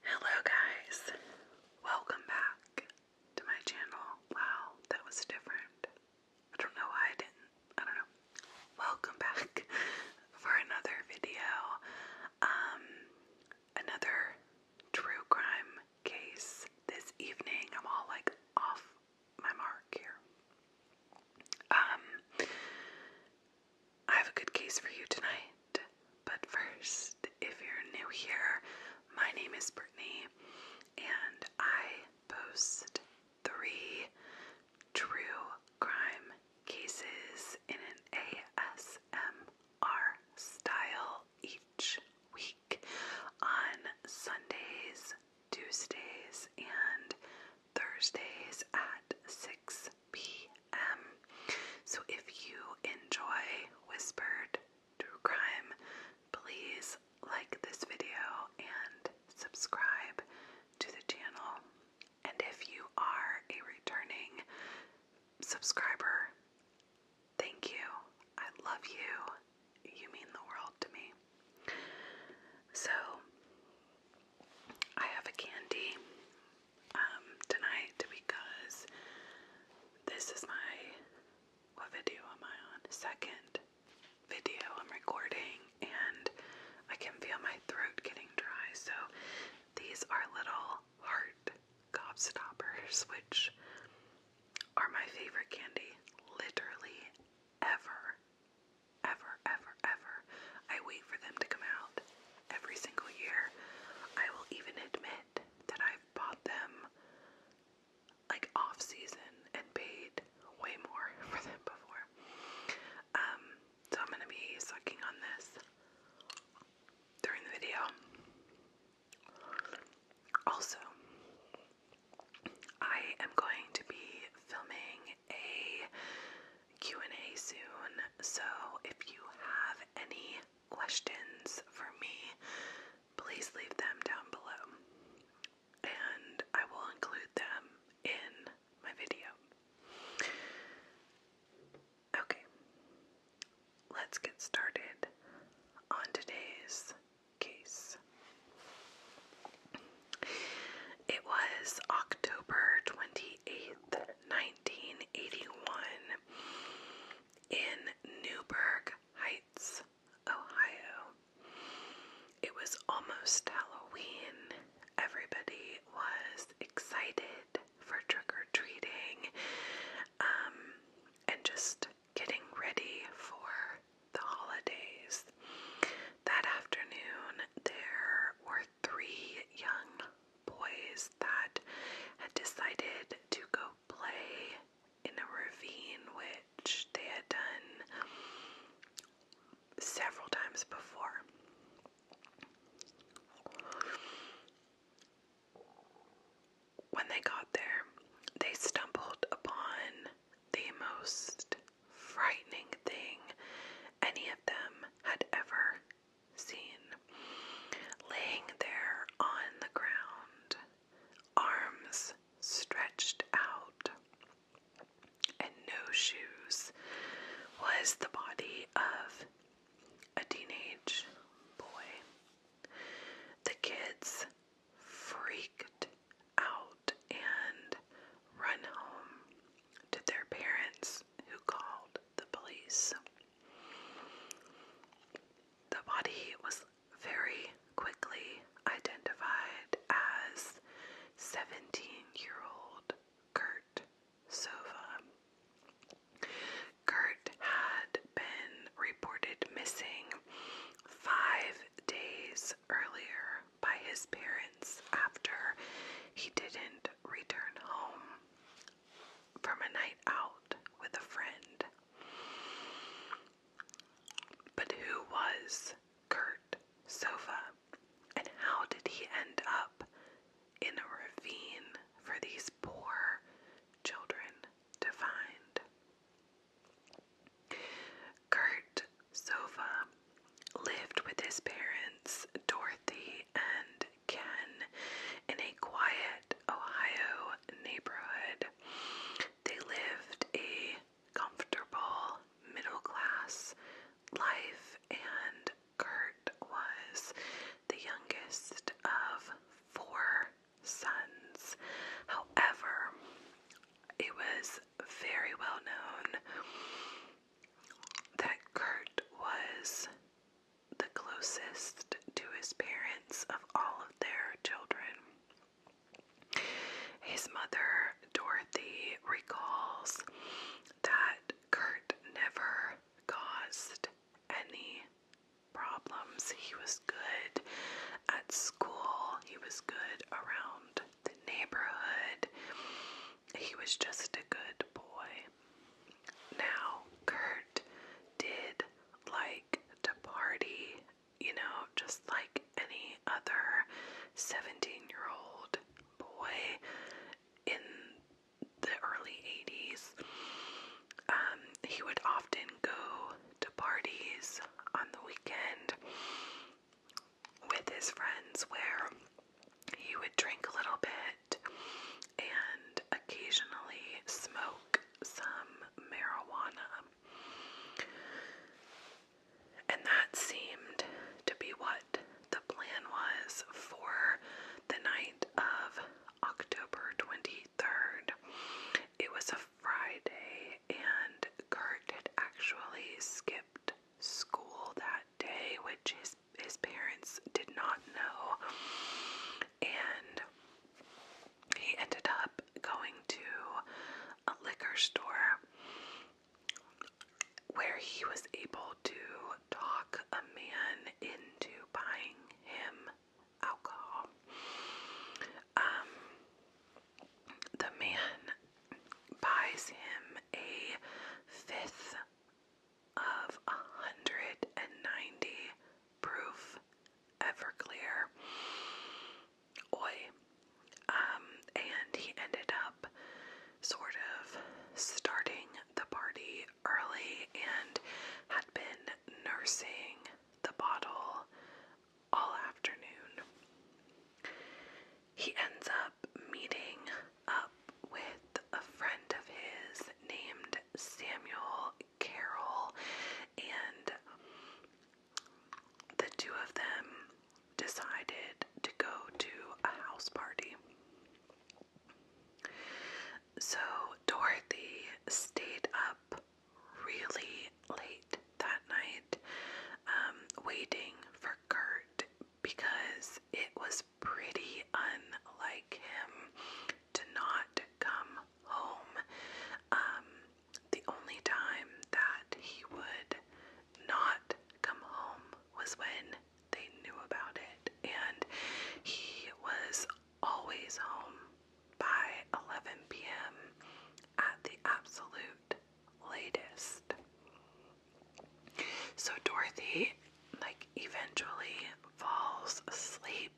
Hello guys, welcome back to my channel. Wow, that was different. I don't know why I didn't, I don't know. Welcome back for another video. Um, another true crime case this evening. I'm all like off my mark here. Um, I have a good case for you tonight. But first, if you're new here, my name is Brittany, and I post three true crime cases in an ASMR style each week on Sundays, Tuesdays, and Thursdays at 6 p.m. So if you enjoy whispered true crime, please like this video and subscribe to the channel. And if you are a returning subscriber, thank you. I love you. You mean the world to me. So, I have a candy um, tonight because this is my, what video am I on? Second video I'm recording and I can feel my throat getting dry. So these are little heart stoppers which are my favorite candy literally ever, ever, ever, ever. I wait for them to come out every single year. I will even admit that I've bought them like off season and paid way more for them before. Um, so I'm gonna be sucking on this during the video. Also, I am going to be filming a and a soon, so if you have any questions for me, please leave them down below. And I will include them in my video. Okay, let's get started on today's case. It was October 20 28th, 1981, in Newburgh Heights, Ohio. It was almost Halloween. Everybody was excited for trick or treating um, and just getting ready for the holidays. That afternoon, there were three young boys that had decided to go play in a ravine, which they had done several times before. When they got there, they stumbled upon the most frightening thing any of them had ever seen laying there on the ground, arms stretched out, and no shoes, was the body of a teenage boy. The kids freaked out and ran home to their parents who called the police. The body was very quickly identified as 17 year old Kurt Sova. Kurt had been reported missing five days earlier by his parents after he didn't return home from a night out with a friend. But who was Kurt Sova and how did he end up in a ravine for these poor children to find? Kurt Sova lived with his parents, Dorothy and Ken in a quiet Ohio neighborhood. They lived a comfortable middle class life, and Kurt was the youngest of four sons. However, it was very well known that Kurt was the closest to his parents of all of their children. His mother, Dorothy, recalls that Kurt never caused any problems. He was good at school, he was good around the neighborhood. He was just a good boy. Now, Kurt did like to party, you know, just like any other 17 year old boy in the early 80s. Um, he would often go to parties on the weekend with his friends where he would drink a little bit and occasionally smoke some marijuana. And that seemed to be what the plan was for the night of October 23rd. It was a Friday, and Kurt had actually skipped school that day, which his, his parents did not know and he ended up going to a liquor store where he was able to talk a man into buying him alcohol. Um, the man buys him a fifth of 190 proof Everclear oil. Um, and he ended up sort of starting the party early and had been nursing the bottle all afternoon. He ends up meeting up with a friend of his named Samuel Carol, and the two of them decided to go to a house party. So Dorothy stayed up really late that night, um, waiting for Kurt because it was pretty unlike him to not come home. Um, the only time that he would not come home was when they knew about it, and he was always home by 11 p.m. at the absolute latest. So Dorothy, like, eventually falls asleep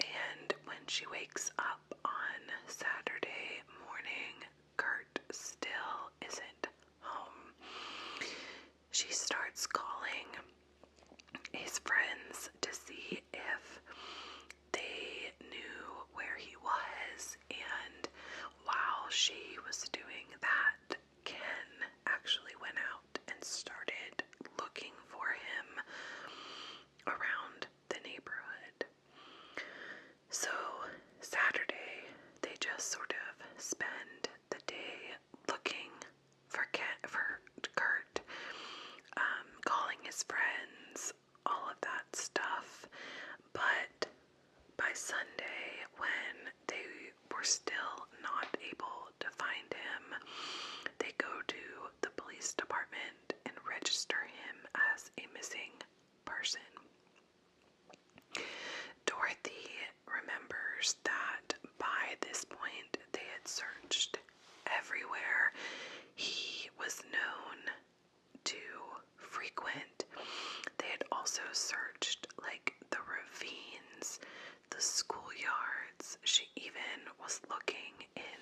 and when she wakes up on Saturday morning, Kurt still isn't home. She starts calling his friends to see if they knew where he was, and while she was doing that, Ken actually went out and started looking for him around the neighborhood. So, Saturday, they just sort of spend the day looking for, Ken, for Kurt, um, calling his friends, all of that stuff. But by Sunday, when they they were still not able to find him. They go to the police department and register him as a missing person. Dorothy remembers that by this point they had searched everywhere. He was known to frequent. They had also searched like the ravines the schoolyards. She even was looking in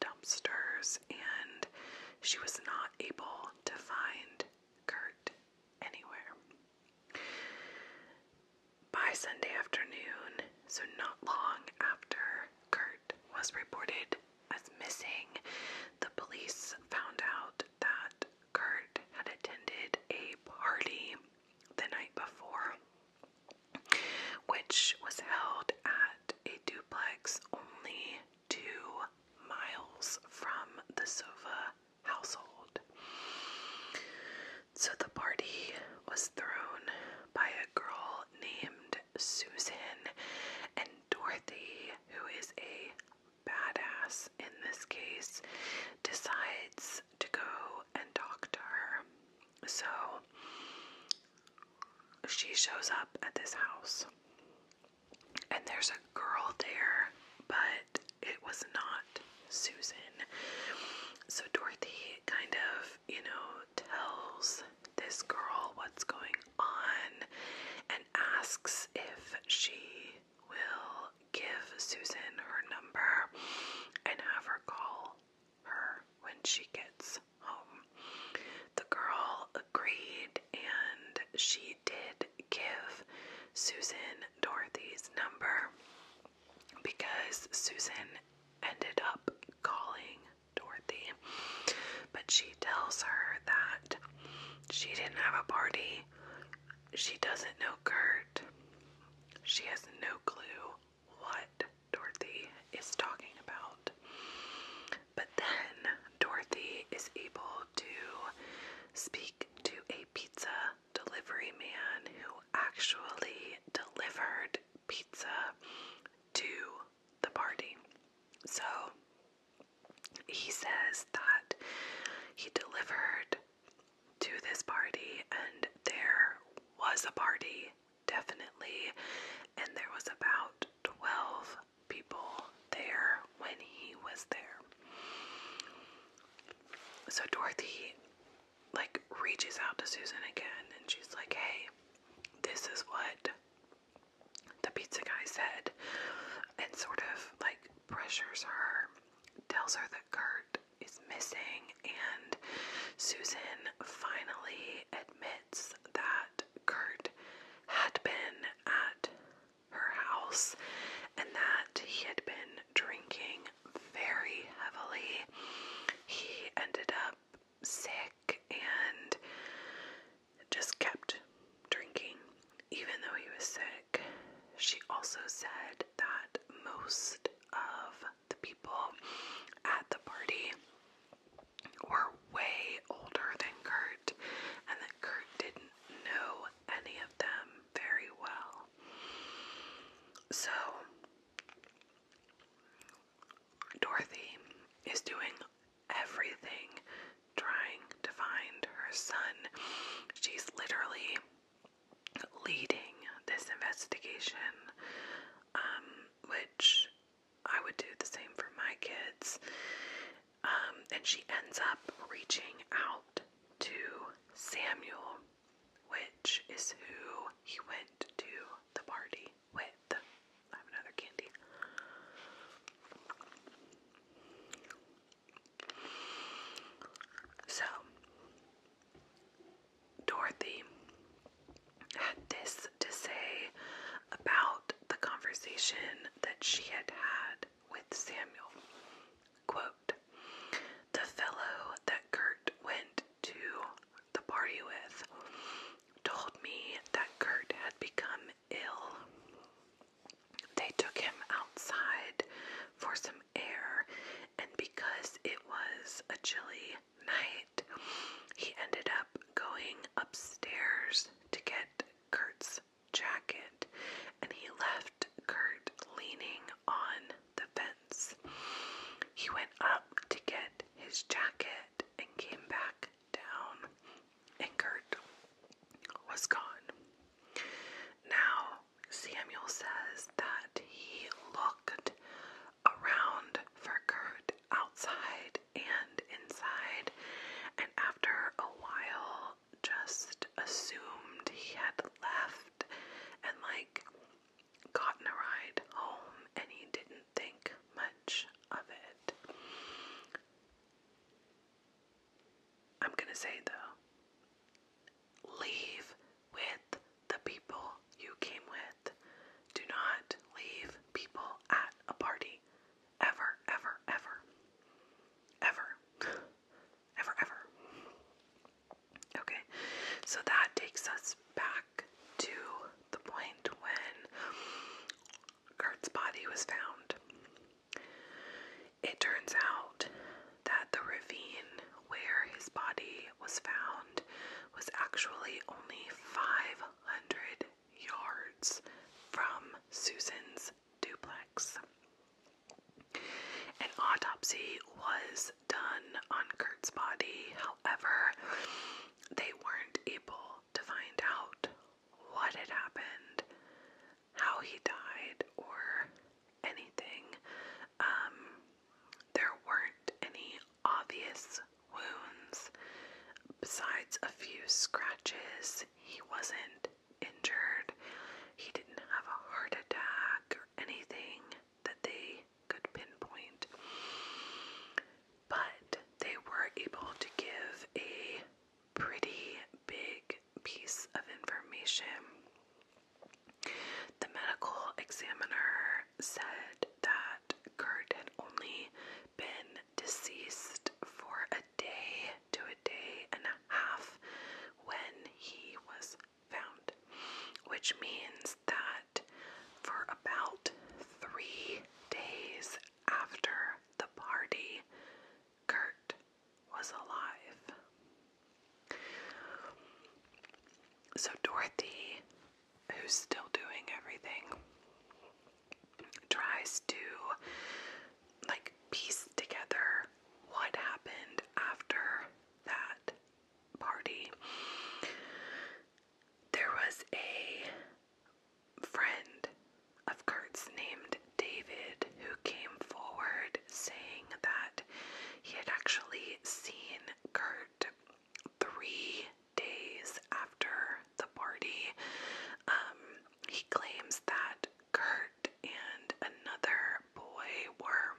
dumpsters and she was not able to find Kurt anywhere. By Sunday afternoon, so not long after Kurt was reported as missing, the police found out that Kurt had attended a party the night before which was held at a duplex only two miles from the Sova household. So the party was thrown by a girl named Susan and Dorothy, who is a badass in this case, decides to go and talk to her. So she shows up at this house, and there's a girl there, but it was not Susan. So Dorothy kind of, you know, tells this girl what's going on and asks if she will give Susan her number and have her call her when she gets home. The girl agreed and she did give Susan Dorothy's number because Susan ended up calling Dorothy. But she tells her that she didn't have a party. She doesn't know Kurt. She has no clue what Dorothy is talking about. But then Dorothy is able to speak to a pizza delivery man who actually delivered pizza to the party. So he says that he delivered to this party, and there was a party, definitely, and there was about 12 people there when he was there. So Dorothy, like, reaches out to Susan again, and she's like, hey, this is what the pizza guy said, and sort of, like, pressures her, tells her that Kurt is missing, and Susan finally admits that Kurt had been at her house and that he had been drinking very heavily. He ended up sick and just kept drinking, even though he was sick. She also said that most of the people at the party were way older than Kurt, and that Kurt didn't know any of them very well. So, Dorothy is doing everything trying to find her son. She's literally leading this investigation, um, which I would do the same for my kids. Um, and she ends up reaching out to Samuel, which is who he went to the party with. I have another candy. So, Dorothy had this to say about the conversation that she had had with Samuel. Quote, the fellow that Kurt went to the party with told me that Kurt had become ill. They took him outside for some air, and because it was a chilly night, he ended up going upstairs to get Kurt's jacket and he left Kurt leaning on the fence. He went up to get his jacket and came back down, and Kurt was gone. Now, Samuel says that he looked around for Kurt outside and inside, and after a while, just assumed he had left and like gotten a ride home, and he didn't think much of it. I'm gonna say though, leave with the people you came with. Do not leave people at a party. Ever, ever, ever. Ever. ever, ever. Okay, so that takes us back to the point when Kurt's body was found. It turns out that the ravine where his body was found was actually only 500 yards from Susan's duplex. An autopsy was done on Kurt's body, however, they weren't able to find out what had happened, how he died, or anything. Um, there weren't any obvious wounds besides a few scratches. He wasn't injured. He didn't have a heart attack or anything that they could pinpoint. But they were able to give a pretty big piece of information the medical examiner said that Kurt had only been deceased for a day to a day and a half when he was found, which means that for about three days after the party, Kurt was alive. So Dorothy who's still doing everything tries to like piece together what happened after that party. There was a friend of Kurt's named David who came forward saying that he had actually seen Kurt three days after the party. Um, he claims that Kurt and another boy were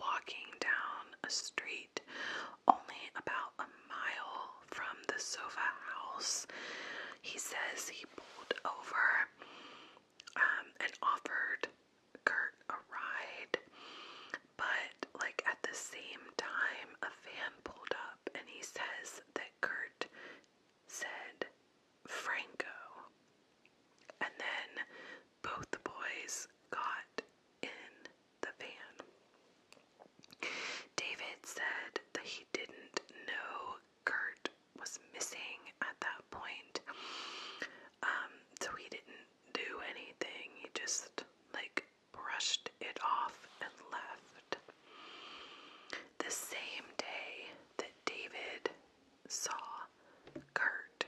walking down a street only about a mile from the Sova house. He says he pulled over um, and offered Kurt a ride, but like at the same time, a van pulled up and he says that Kurt said Franco, and then both the boys got in the van. David said that he didn't know Kurt was missing at that point, um, so he didn't do anything. He just like brushed it off and left. The same day that David saw Kurt,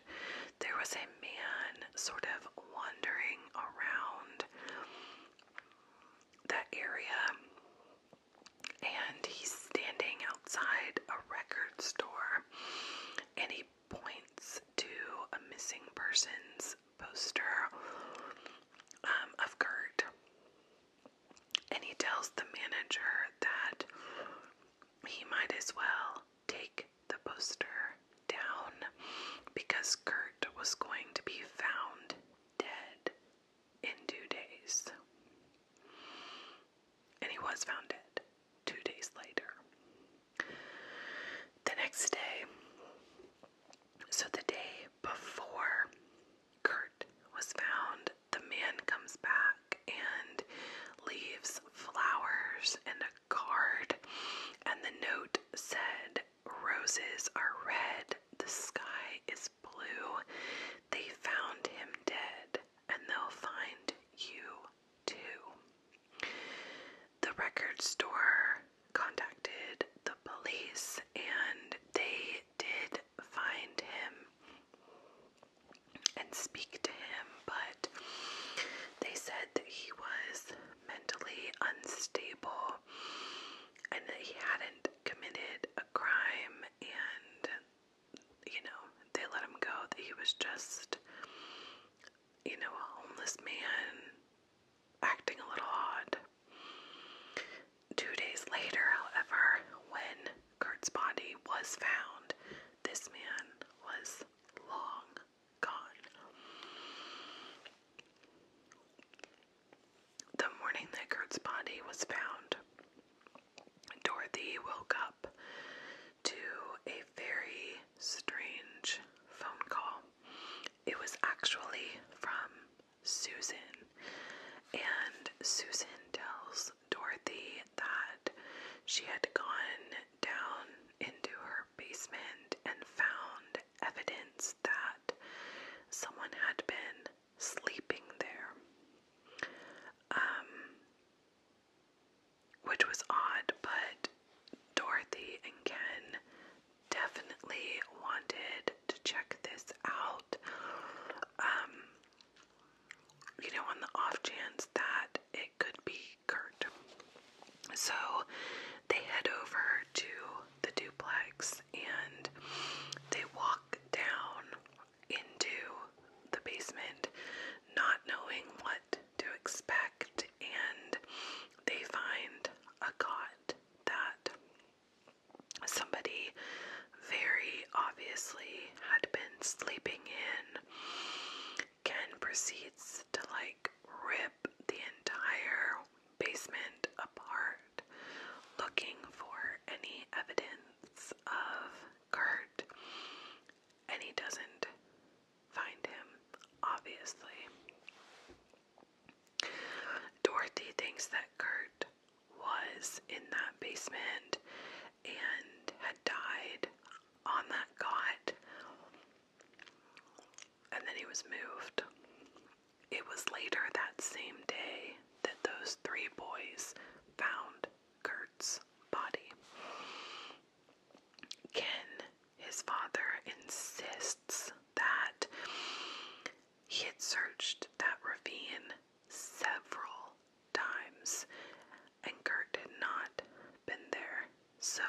there was a man sort of wandering around that area, and he's standing outside a record store and he points to a missing persons poster um, of Kurt. And he tells the manager that he might as well take the poster down because Kurt was going to be found dead in two days. And he was found dead two days later. The next day, so the day before Kurt was found, the man comes back and leaves flowers and a card, and the note said, Roses are red, the sky is blue. They found him dead, and they'll find you too. The record store contacted the police and they did find him and speak to him, but they said that he was mentally unstable and that he hadn't committed a crime and you know, they let him go, that he was just you know, a homeless man acting a little odd. Two days later, however, when Kurt's body was found, this man was long gone. The morning that Kurt's body was found, Dorothy woke up to a very strange phone call. It was actually from Susan, and Susan tells Dorothy that she had gone down into her basement and found evidence that someone had been sleeping there. Um, which was odd, but Dorothy and Ken definitely wanted to check this out. Um, you know, on the off chance that it could be Kurt. So they head over to the duplex and they walk down into the basement, not knowing what to expect, and they find a cot that somebody very obviously had been sleeping in. Ken proceeds to like rip the entire basement apart looking for any evidence of Kurt, and he doesn't find him, obviously. Dorothy thinks that Kurt was in that basement and had died on that cot, and then he was moved. It was later that same day that those three boys found Kurt's body. Ken, his father, insists that he had searched that ravine several times and Kurt had not been there. So,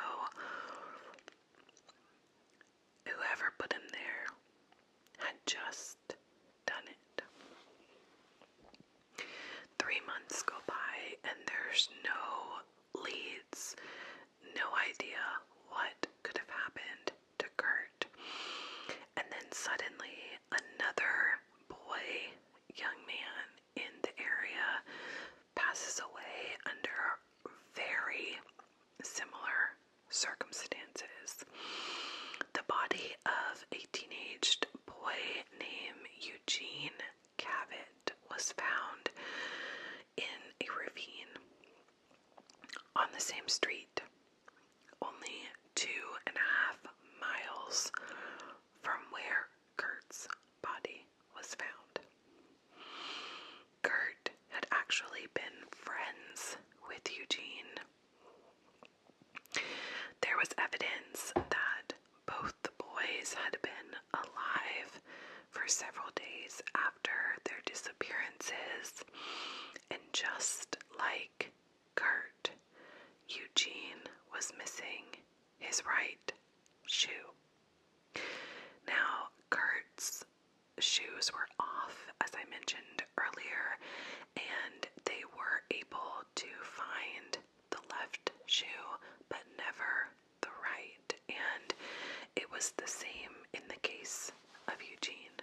whoever put him there had just done it. Three months go by, and there's no leads. No idea what could have happened to Kurt. And then suddenly, another boy, young man in the area, passes away under very similar circumstances. The body of a teenaged boy named Eugene Cabot was found in a ravine on the same street, only two and a half miles from where Kurt's body was found. Kurt had actually been friends with Eugene. There was evidence that both the boys had been alive for several days after their disappearances, and just like Kurt, Eugene was missing his right shoe. Now, Kurt's shoes were off, as I mentioned earlier, and they were able to find the left shoe, but never the right, and it was the same in the case of Eugene.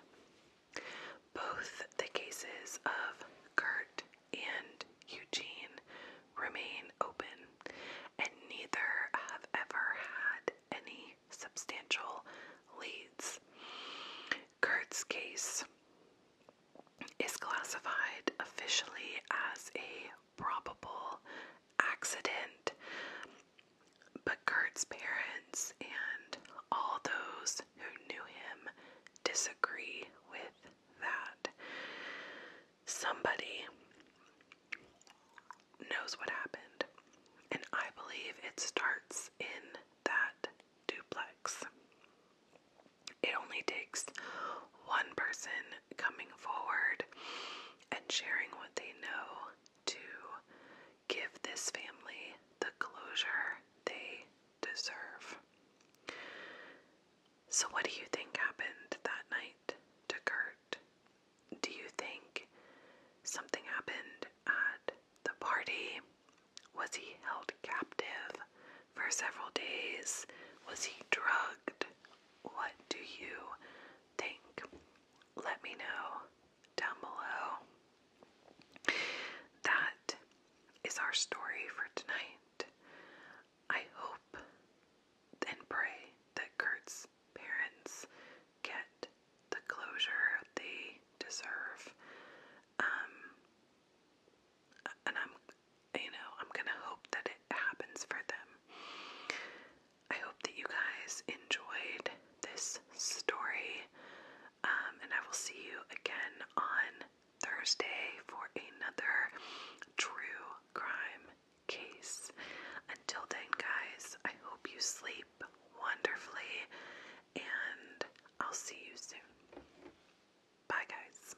Both the cases of Kurt and Eugene remain open, and neither have ever had any substantial leads. Kurt's case is classified officially as a probable accident. But Kurt's parents and all those who knew him disagree with that. Somebody knows what happened, and I believe it starts in that duplex. It only takes one person coming forward and sharing what they know to give this family the closure they deserve. So, what do you think happened that night to Kurt? Do you think something happened at the party? Was he held captive for several days? Was he drugged? What do you think? Let me know down below. That is our story for tonight. I hope and pray that Kurt's parents get the closure they deserve. Um, and I'm, you know, I'm gonna hope that it happens for them. I hope that you guys enjoyed this story, um, and I will see you again on Thursday for another true crime case. Until then, guys, I hope you sleep wonderfully, and I'll see you soon. Bye, guys.